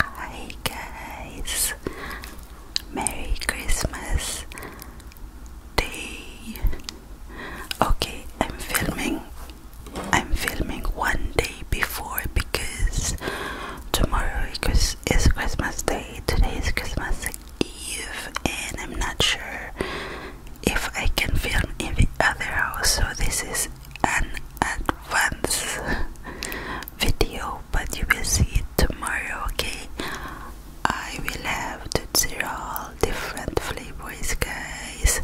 Hi guys, Merry Christmas Day. Okay, I'm filming. I'm filming one day before because tomorrow is Christmas Day. Today is Christmas Eve, and I'm not sure if I can film in the other house. So this is an advance video, but you will see it tomorrow, okay? I will have all different flavors, guys.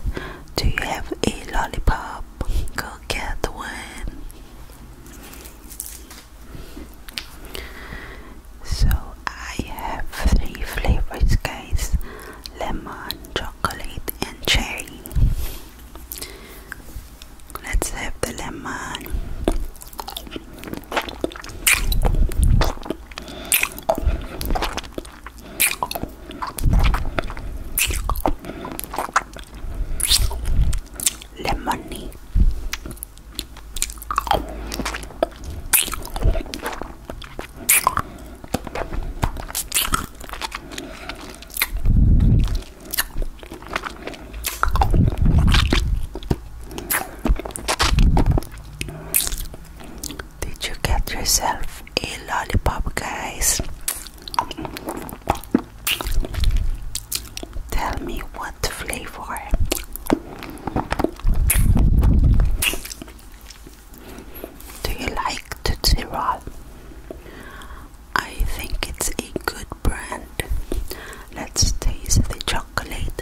Do you have a lollipop? Go get one. So I have three flavors, guys: lemon, chocolate, and cherry. Let's have the lemon. Lemony. Did you get yourself a lollipop, guys? Tell me what flavor. Do you like Tootsie Roll? I think it's a good brand. Let's taste the chocolate.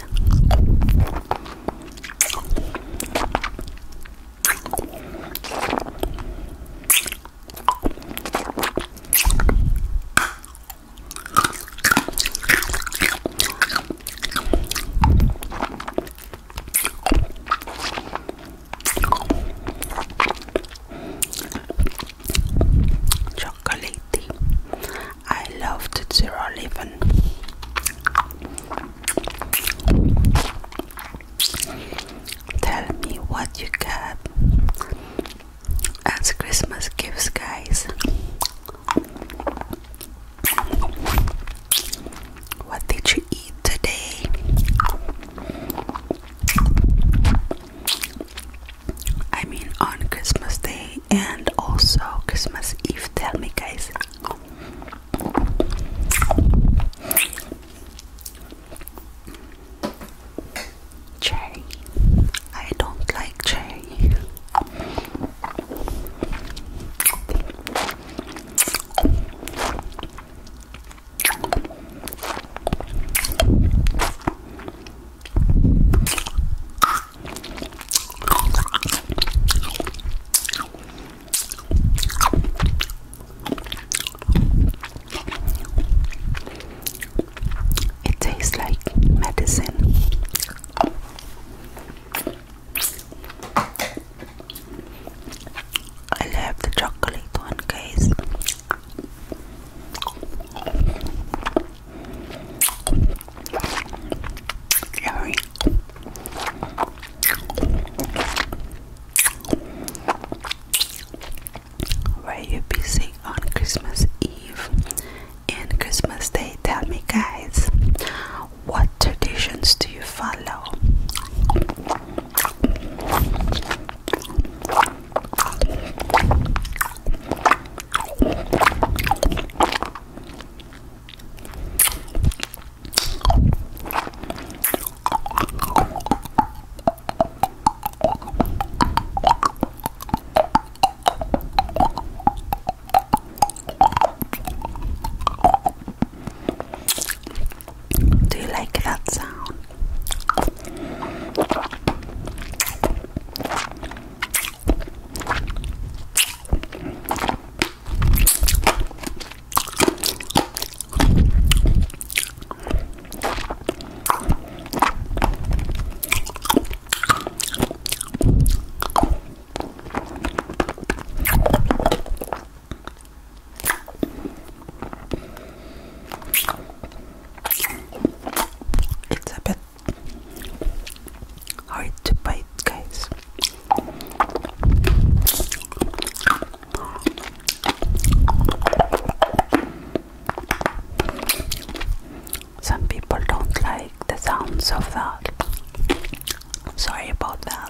Chocolatey. I love the zero eleven. Tell me what you got as Christmas gifts, guys. What did you eat today? I mean, on Christmas Day and also Christmas Eve. Tell me, guys. Cherry. I don't like cherry. It tastes like medicine. I love the chocolate one, guys. Yummy. Were you busy on Christmas Eve and Christmas Day? Tell me, guys. What traditions do you follow? Do you like that sound? It's a bit hard to bite, guys. Some people don't like the sounds of that. Sorry about that.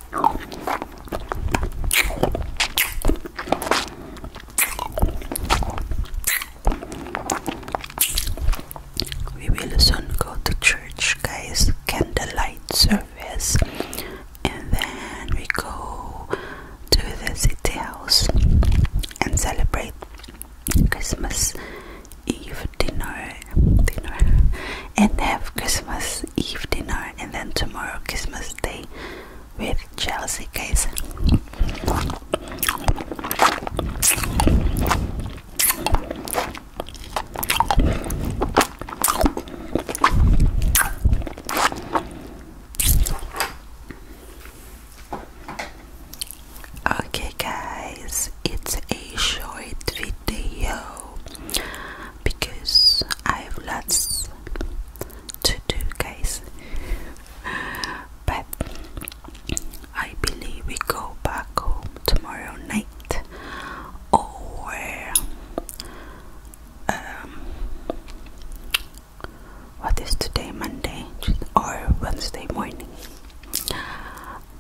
We will soon go to church, guys. Candlelight service, and then we go to the city house and celebrate Christmas Eve dinner, dinner, and have Christmas Christmas dinner uh, and then tomorrow Christmas Day with Chelsea, guys. Okay, guys, it's a short video because I have lots to do, guys. But I believe we go back home tomorrow night or um, what is today, Monday or Wednesday morning.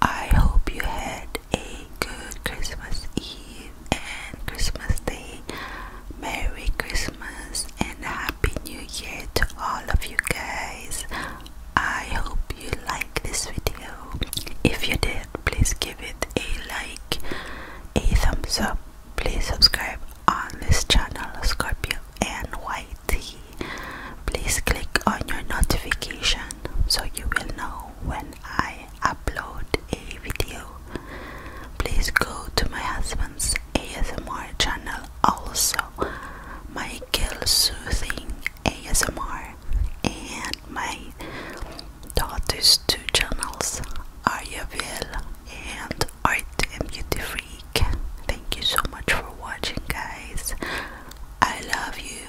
I hope you had a good Christmas Eve and Christmas Day. Merry Christmas and Happy New Year to all of you guys. I hope you like this video. If you did, please give it a like, a thumbs up. Please subscribe on this channel, Scorpio and Whitey. Please click on your notification so you will know when I upload a video. Please go to my husband's ASMR channel, also Michael Soothing ASMR, and my daughter's two channels, Ariaville and Art and Beauty Freak. Thank you so much for watching, guys. I love you.